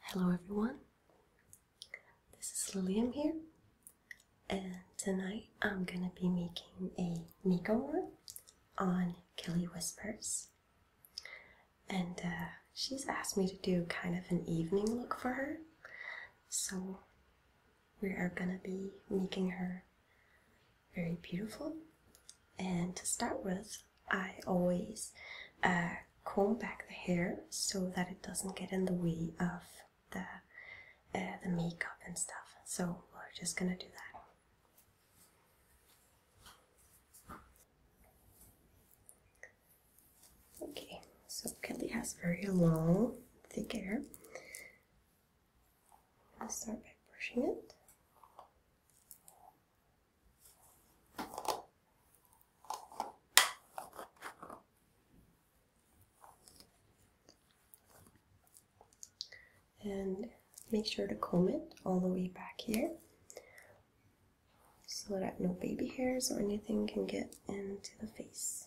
Hello everyone, this is Lillian here, and tonight I'm gonna be making a makeover on Kelly Whispers. And uh, she's asked me to do kind of an evening look for her, so we are gonna be making her very beautiful. And to start with, I always uh, comb back the hair so that it doesn't get in the way of the uh, the makeup and stuff. So we're just gonna do that. Okay, so Kelly has very long, thick hair. i will start by brushing it. And make sure to comb it all the way back here so that no baby hairs or anything can get into the face.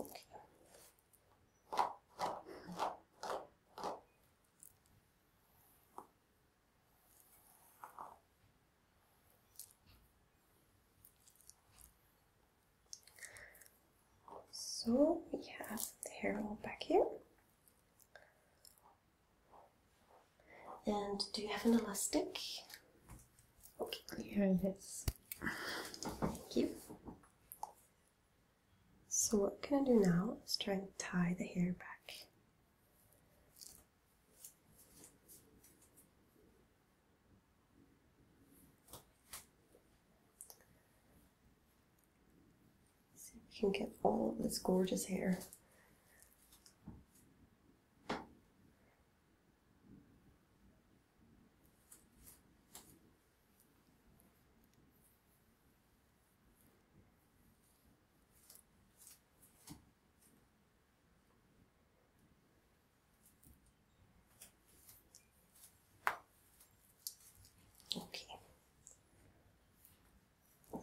Okay. So we have the hair all back here. And do you have an elastic? Okay, here it is. Thank you. So what can I do now Let's try and tie the hair back. See if we can get all of this gorgeous hair Okay,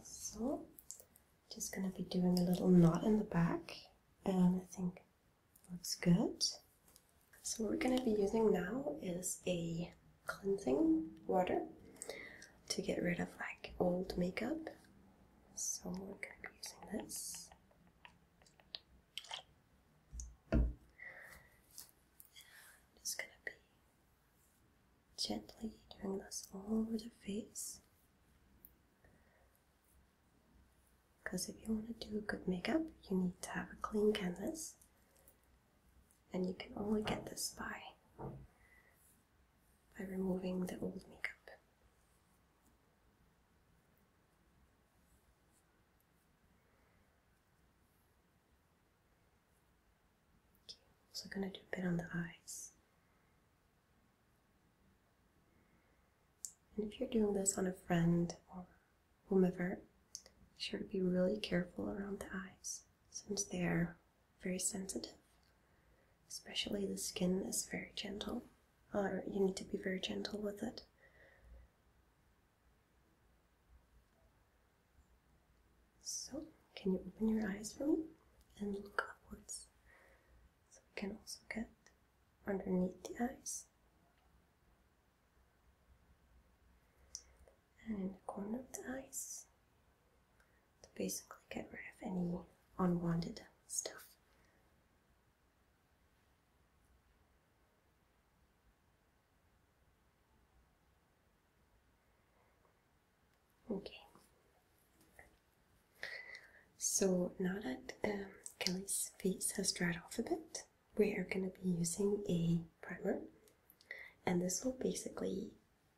so just going to be doing a little knot in the back, and I think Looks good. So we're going to be using now is a cleansing water to get rid of like old makeup. So we're going to be using this. just going to be gently doing this all over the face. Because if you want to do good makeup, you need to have a clean canvas, and you can only get this by by removing the old makeup. Okay, also gonna do a bit on the eyes. And if you're doing this on a friend or whomever, be sure to be really careful around the eyes since they are very sensitive. Especially the skin is very gentle, or you need to be very gentle with it. So, can you open your eyes for me and look upwards? So we can also get underneath the eyes. And in the corner of the eyes to basically get rid of any unwanted stuff. Okay, so now that um, Kelly's face has dried off a bit, we are going to be using a primer, and this will basically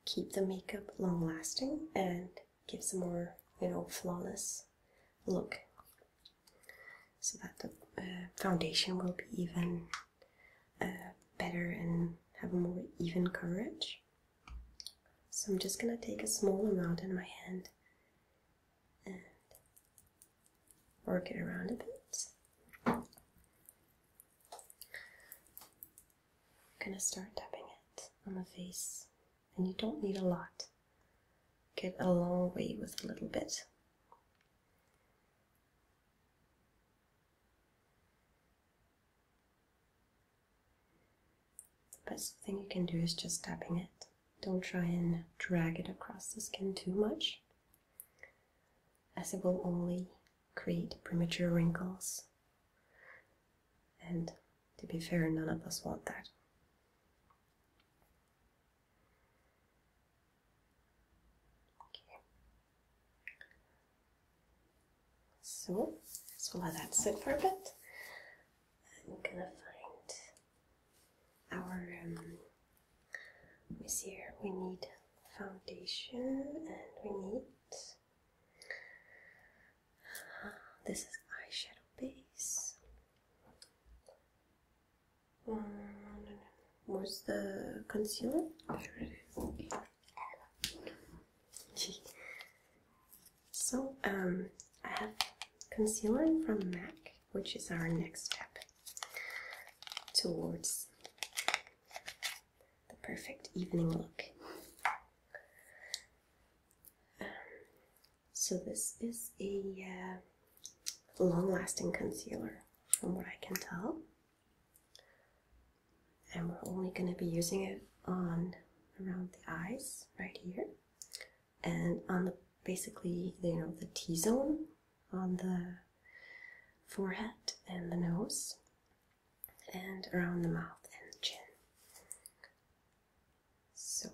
keep the makeup long lasting and gives a more you know flawless look, so that the uh, foundation will be even uh, better and have a more even coverage. So I'm just gonna take a small amount in my hand and work it around a bit. I'm gonna start dabbing it on the face, and you don't need a lot. Get a long way with a little bit. The best thing you can do is just tapping it. Don't try and drag it across the skin too much, as it will only create premature wrinkles. And to be fair, none of us want that. So, let's so let that sit for a bit. I'm gonna find our um, this year we need foundation and we need uh, this is eyeshadow base. Um, no, no. Where's the concealer? There it is. So um, I have concealer from MAC, which is our next step towards the perfect evening look. Um, so this is a uh, long-lasting concealer, from what I can tell, and we're only going to be using it on around the eyes right here and on the basically you know the T zone on the forehead and the nose and around the mouth and chin. So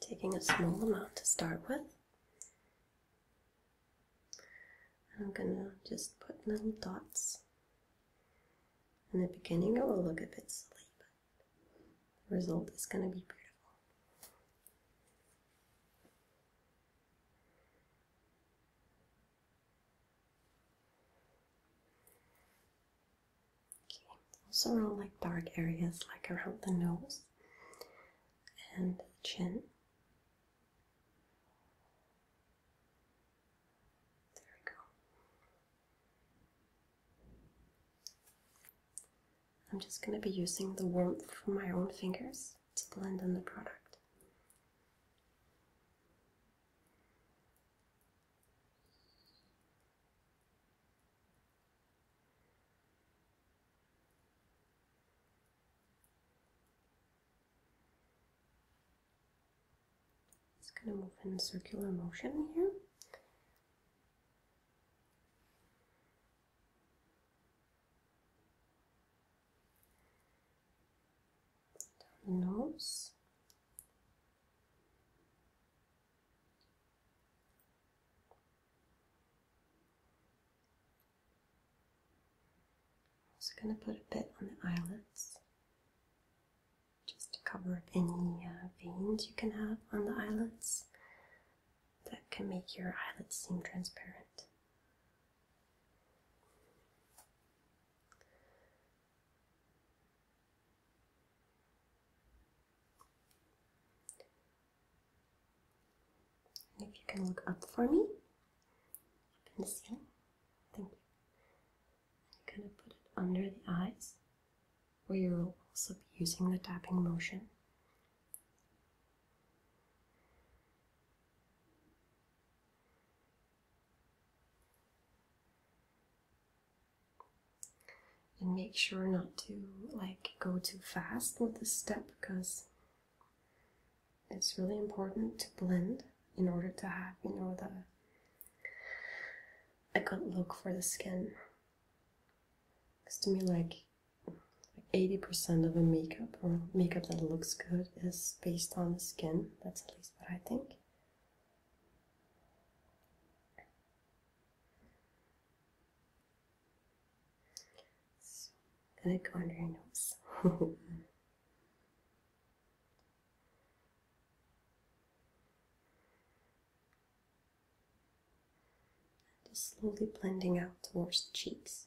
taking a small amount to start with. I'm gonna just put little dots in the beginning, it will look a bit silly, but the result is going to be beautiful. Okay, also around like dark areas, like around the nose and the chin. There we go. I'm just going to be using the warmth from my own fingers to blend in the product. Just going to move in circular motion here. nose. I'm also going to put a bit on the eyelids just to cover up any uh, veins you can have on the eyelids that can make your eyelids seem transparent. if you can look up for me, Thank you and gonna put it under the eyes where you'll also be using the tapping motion. And make sure not to like go too fast with this step because it's really important to blend in order to have you know the I couldn't look for the skin. Because to me, like, like 80% of a makeup or makeup that looks good is based on the skin. That's at least what I think. And I go under my nose just slowly blending out towards the cheeks.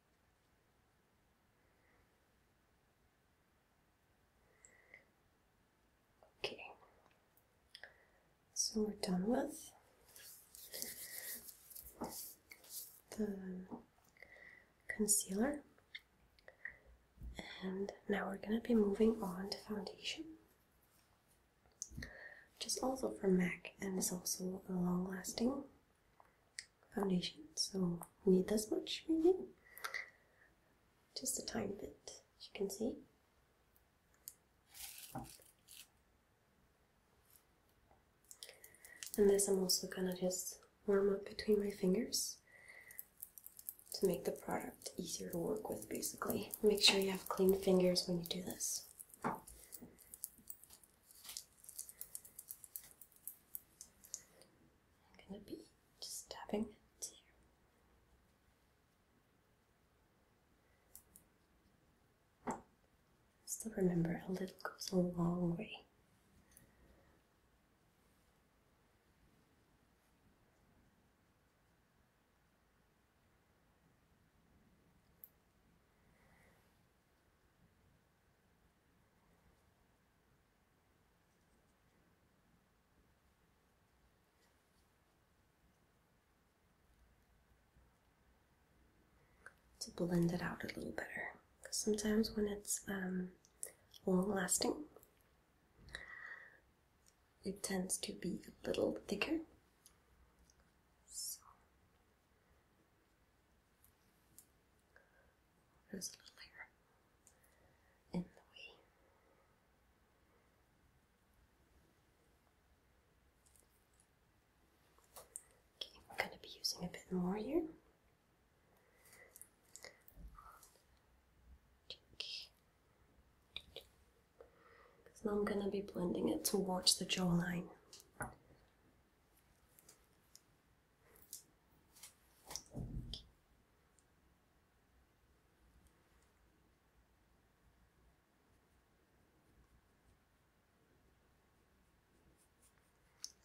Okay, so we're done with the concealer, and now we're going to be moving on to foundation, which is also from MAC and is also long lasting foundation, so you need this much maybe. Just a tiny bit, as you can see. And this I'm also gonna just warm up between my fingers to make the product easier to work with basically. Make sure you have clean fingers when you do this. I'm going to be just tapping it here. Still remember, a little goes a long way to blend it out a little better because sometimes when it's um, long lasting it tends to be a little thicker there's a little hair in the way. Okay, I'm going to be using a bit more here. Because now I'm going to be blending it towards the jawline.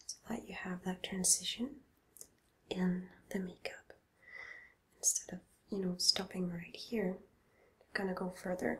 So that you have that transition in the makeup. Instead of, you know, stopping right here, gonna go further.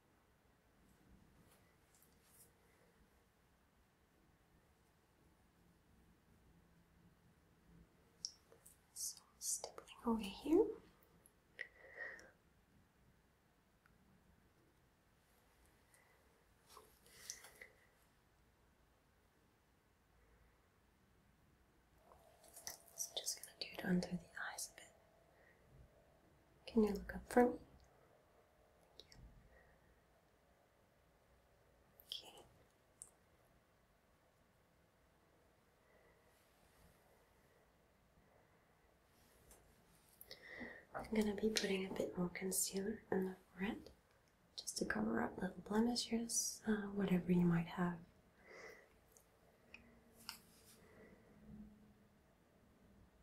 So stapling over here. So just gonna do it under the eyes a bit. Can you look up for me? Okay. I'm going to be putting a bit more concealer in the front, just to cover up little blemishes, uh, whatever you might have.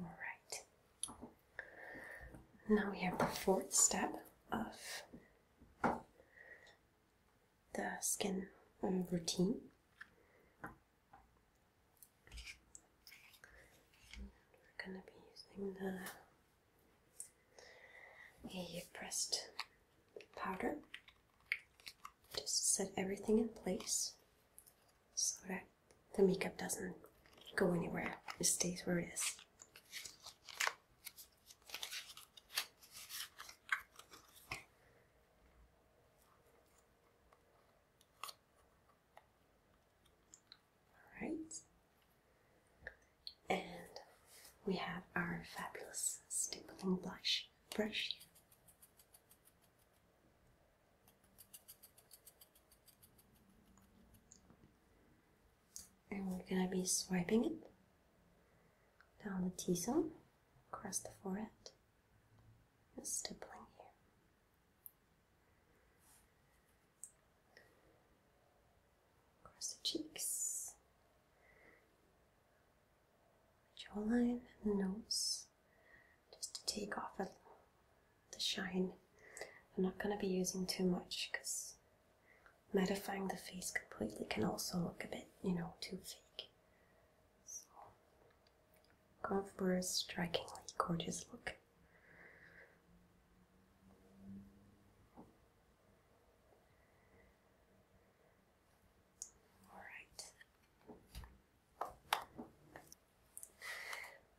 All right. Now we have the fourth step of the skin routine, we're going to be using the pressed powder. Just set everything in place so that the makeup doesn't go anywhere, it stays where it is. All right. And we have our fabulous stippling blush brush. And we're gonna be swiping it down the T zone, across the forehead, and stippling here across the cheeks, jawline, and nose, just to take off a, the shine. I'm not going to be using too much because modifying the face completely can also look a bit, you know, too fake. Gone for a strikingly gorgeous look. Alright.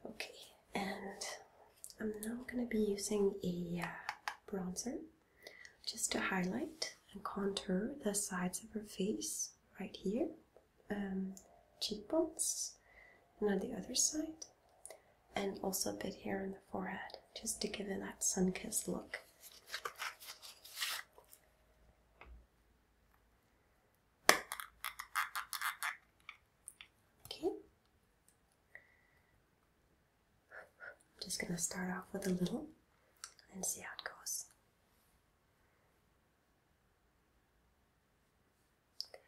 Okay, and I'm now going to be using a uh, bronzer just to highlight and contour the sides of her face right here um, cheekbones and on the other side, and also a bit here on the forehead just to give it that sun kissed look. Okay, I'm just going to start off with a little and see how it goes.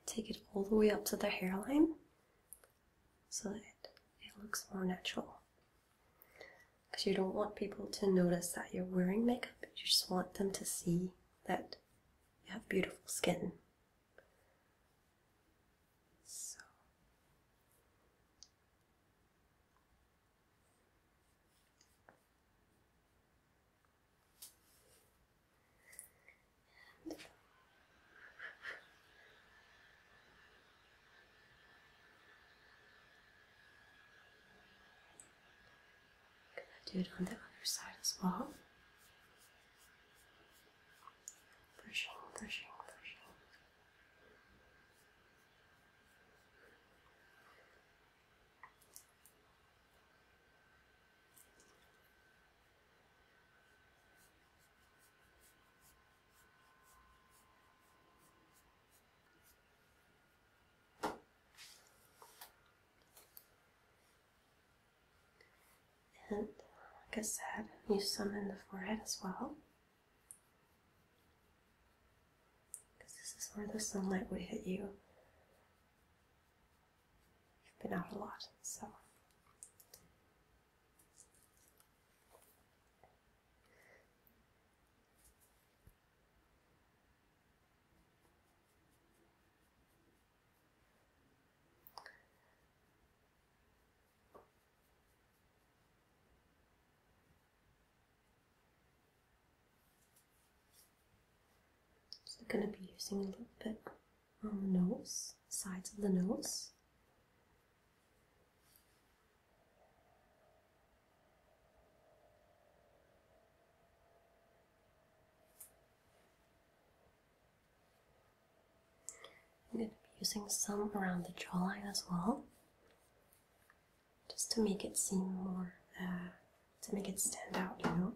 Take it all the way up to the hairline so that it looks more natural. Because you don't want people to notice that you're wearing makeup, you just want them to see that you have beautiful skin. So. And gonna do it on the other side as well. Pushing, pushing, pushing. And like I said, use some in the forehead as well. Because this is where the sunlight would hit you. I've been out a lot, so. So I'm going to be using a little bit on the nose, sides of the nose. I'm going to be using some around the jawline as well, just to make it seem more uh, to make it stand out, you know?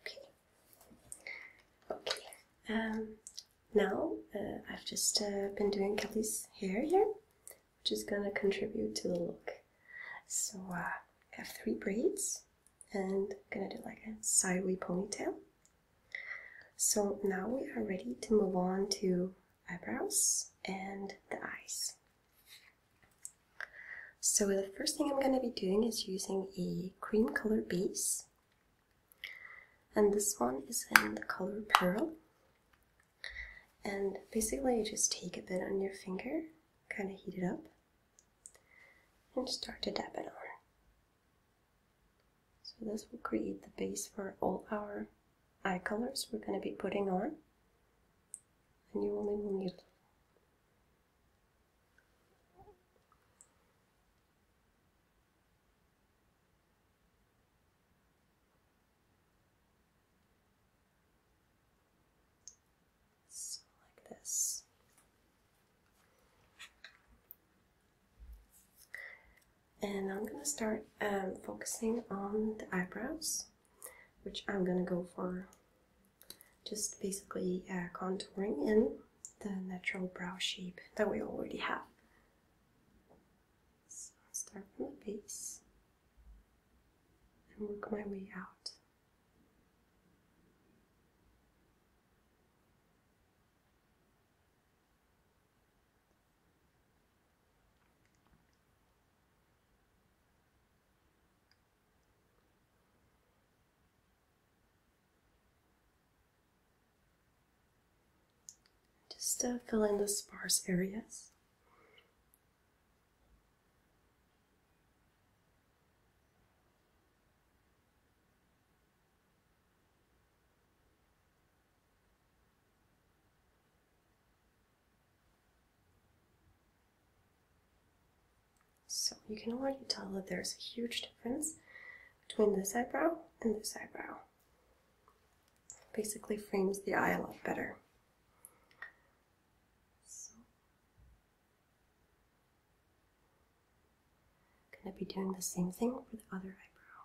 Okay, okay. Um, now uh, I've just uh, been doing Kelly's hair here which is going to contribute to the look. So uh, I have three braids and I'm going to do like a sideways ponytail. So now we are ready to move on to eyebrows and the eyes. So the first thing I'm going to be doing is using a cream color base. And this one is in the color Pearl. And basically, you just take a bit on your finger, kind of heat it up, and start to dab it on. So, this will create the base for all our eye colors we're going to be putting on, and you only will need like this. And I'm gonna start um, focusing on the eyebrows, which I'm gonna go for just basically uh, contouring in the natural brow shape that we already have. So, I'll start from the base and work my way out. Just to uh, fill in the sparse areas. So you can already tell that there's a huge difference between this eyebrow and this eyebrow. basically frames the eye a lot better going to be doing the same thing for the other eyebrow.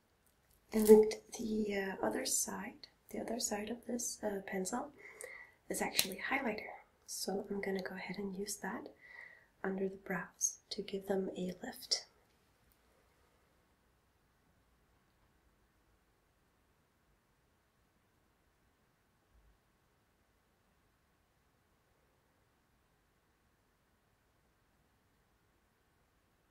And the uh, other side, the other side of this uh, pencil is actually highlighter. So I'm going to go ahead and use that under the brows to give them a lift.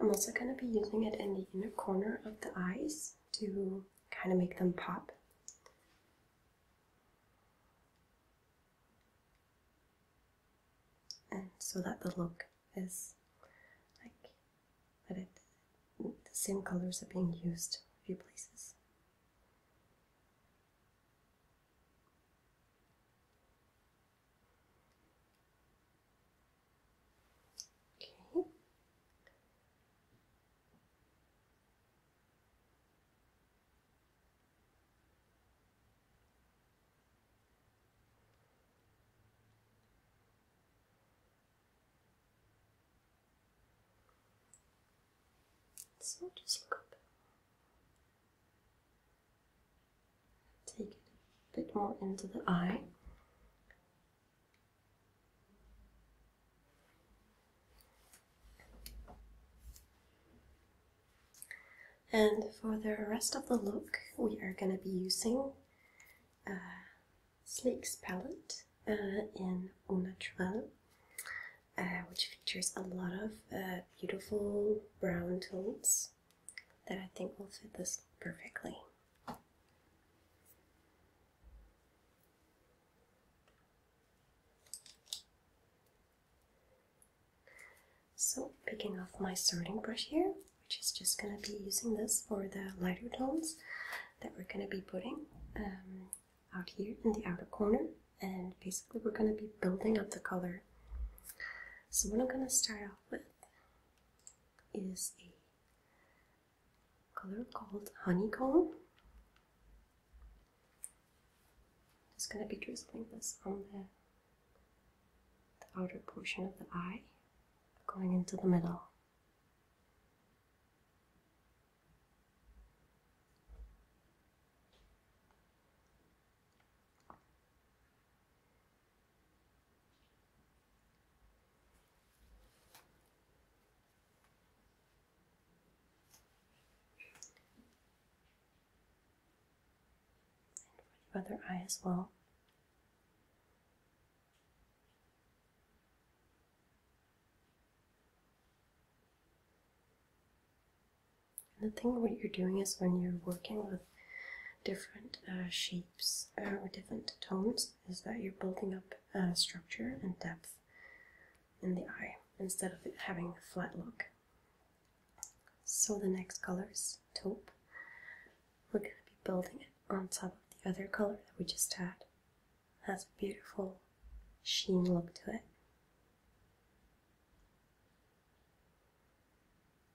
I'm also going to be using it in the inner corner of the eyes to kind of make them pop. And so that the look is like that it the same colors are being used a few places. Okay. So just look up. Take it a bit more into the eye. And for the rest of the look, we are going to be using uh, Sleek's palette uh, in Au Naturel, uh, which features a lot of beautiful brown tones that I think will fit this perfectly. So picking off my sorting brush here, which is just going to be using this for the lighter tones that we're going to be putting um, out here in the outer corner and basically we're going to be building up the color. So what I'm going to start off with is a color called honeycomb. i just going to be drizzling this on the outer portion of the eye, going into the middle. And for the other eye as well. And the thing what you're doing is when you're working with different uh, shapes uh, or different tones is that you're building up uh, structure and depth in the eye instead of having a flat look. So the next color is taupe. We're going to be building it on top of the other color that we just had. It has a beautiful sheen look to it.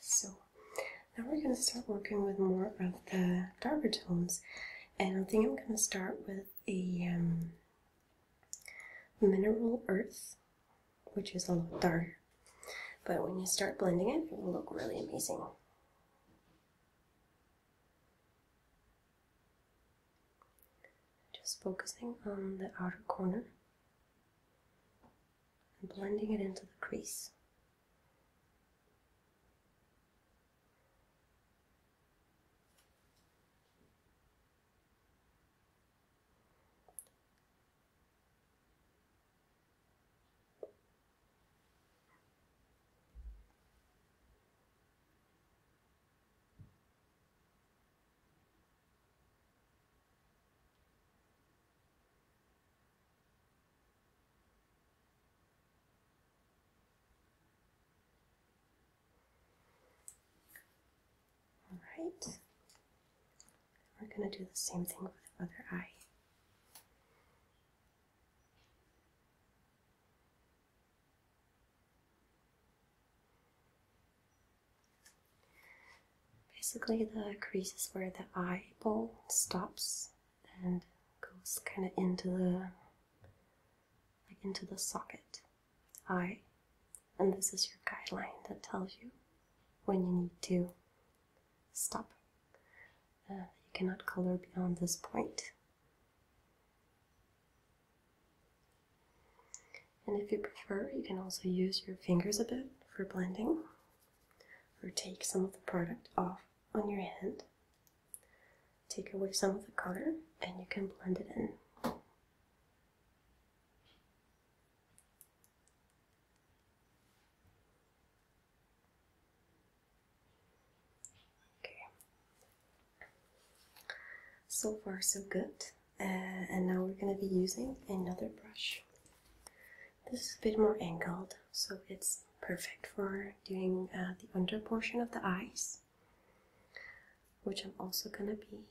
So now we're going to start working with more of the darker tones, and I think I'm going to start with a um, mineral earth, which is a lot darker. But when you start blending it, it will look really amazing. Just focusing on the outer corner and blending it into the crease. All right. We're going to do the same thing with the other eye. Basically, the crease is where the eyeball stops and goes kind of into the like into the socket eye, and this is your guideline that tells you when you need to stop. Uh, you cannot color beyond this point. And if you prefer, you can also use your fingers a bit for blending or take some of the product off on your hand. Take away some of the color and you can blend it in. Okay. So far so good. Uh, and now we're going to be using another brush. This is a bit more angled, so it's perfect for doing uh, the under portion of the eyes, which I'm also going to be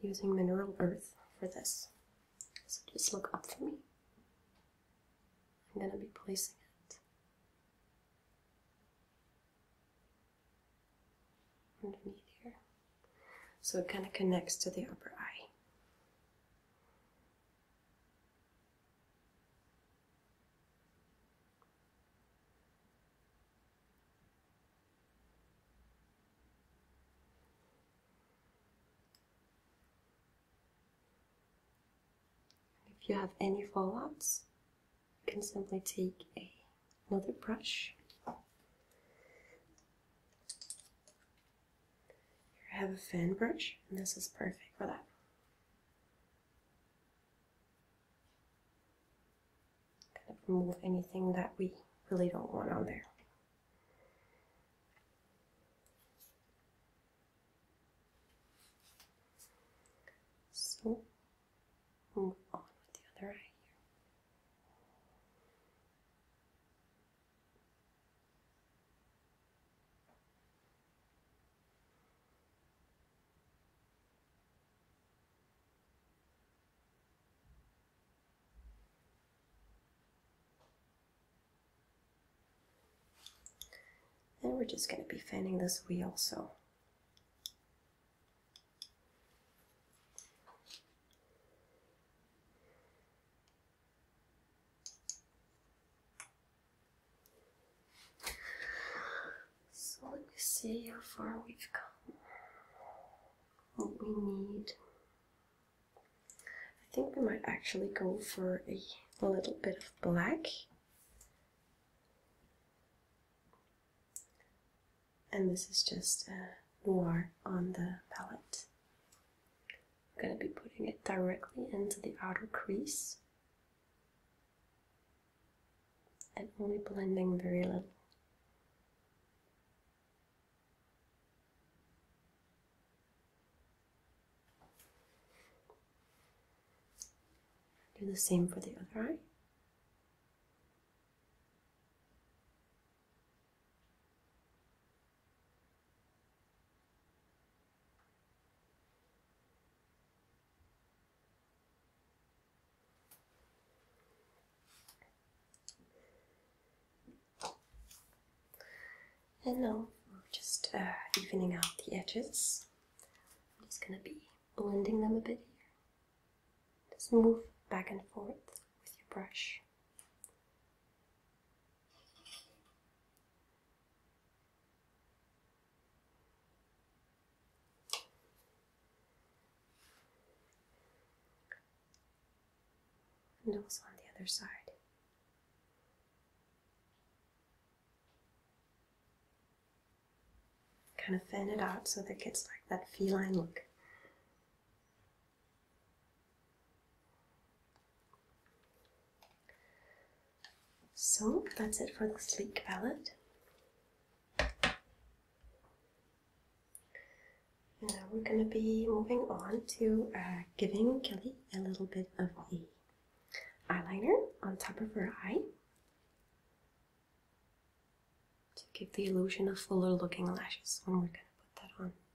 using mineral earth for this. So just look up for me. I'm going to be placing it underneath here. So it kind of connects to the upper eye. If you have any fallouts, you can simply take another brush here I have a fan brush, and this is perfect for that. Kind of remove anything that we really don't want on there. So move on with the other eye here. And we're just going to be fanning this wheel so. So let me see how far we've come. What we need. I think we might actually go for a little bit of black. And this is just uh, noir on the palette. I'm going to be putting it directly into the outer crease and only blending very little. Do the same for the other eye. And now just uh, evening out the edges. I'm just going to be blending them a bit here. Just move back and forth with your brush and also on the other side. Kind of fan it out so that it gets like that feline look. So that's it for the sleek palette. Now we're going to be moving on to uh, giving Kelly a little bit of the eyeliner on top of her eye to give the illusion of fuller looking lashes when we're going to put that on.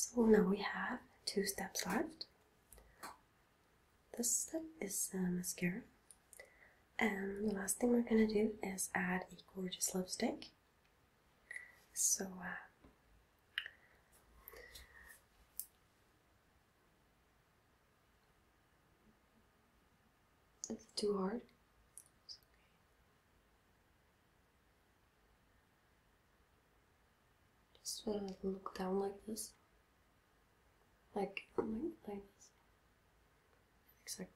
So now we have two steps left. This step is uh, mascara. And the last thing we're gonna do is add a gorgeous lipstick. So, uh, It's too hard. Just sort of look down like this. Like, like, oh like this. Exactly.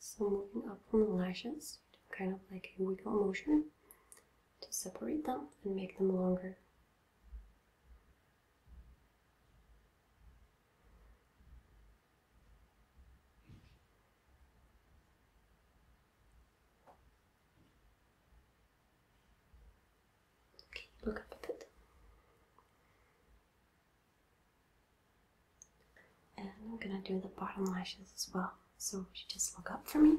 So moving up from the lashes, kind of like a wiggle motion to separate them and make them longer. Can look up a bit? And I'm gonna do the bottom lashes as well. So just look up for me?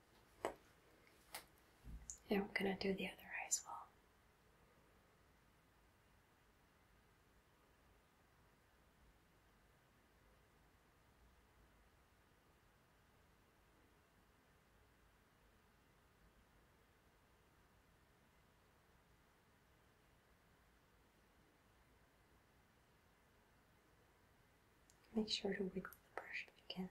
And we're going to do the other eye as well. Make sure to wiggle the brush if you can.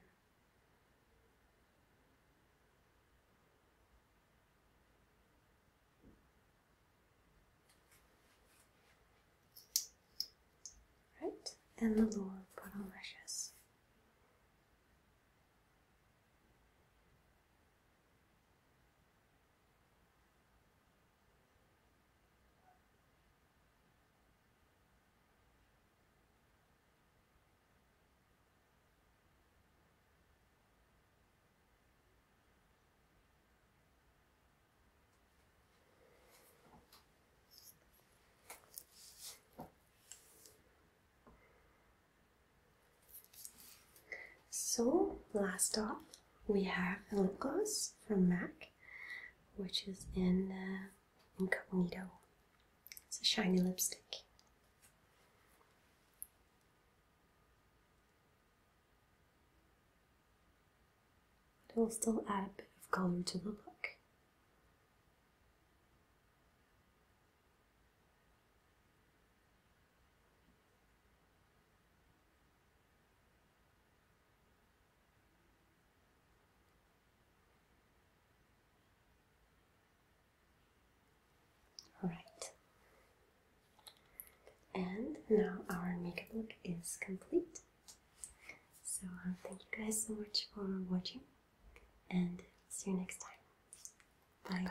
Right, and the lower bottom lashes. So, last off, we have a lip gloss from MAC, which is in uh, Incognito. It's a shiny lipstick. It will still add a bit of color to the look. Alright. And now our makeup look is complete. So uh, thank you guys so much for watching and see you next time. Bye.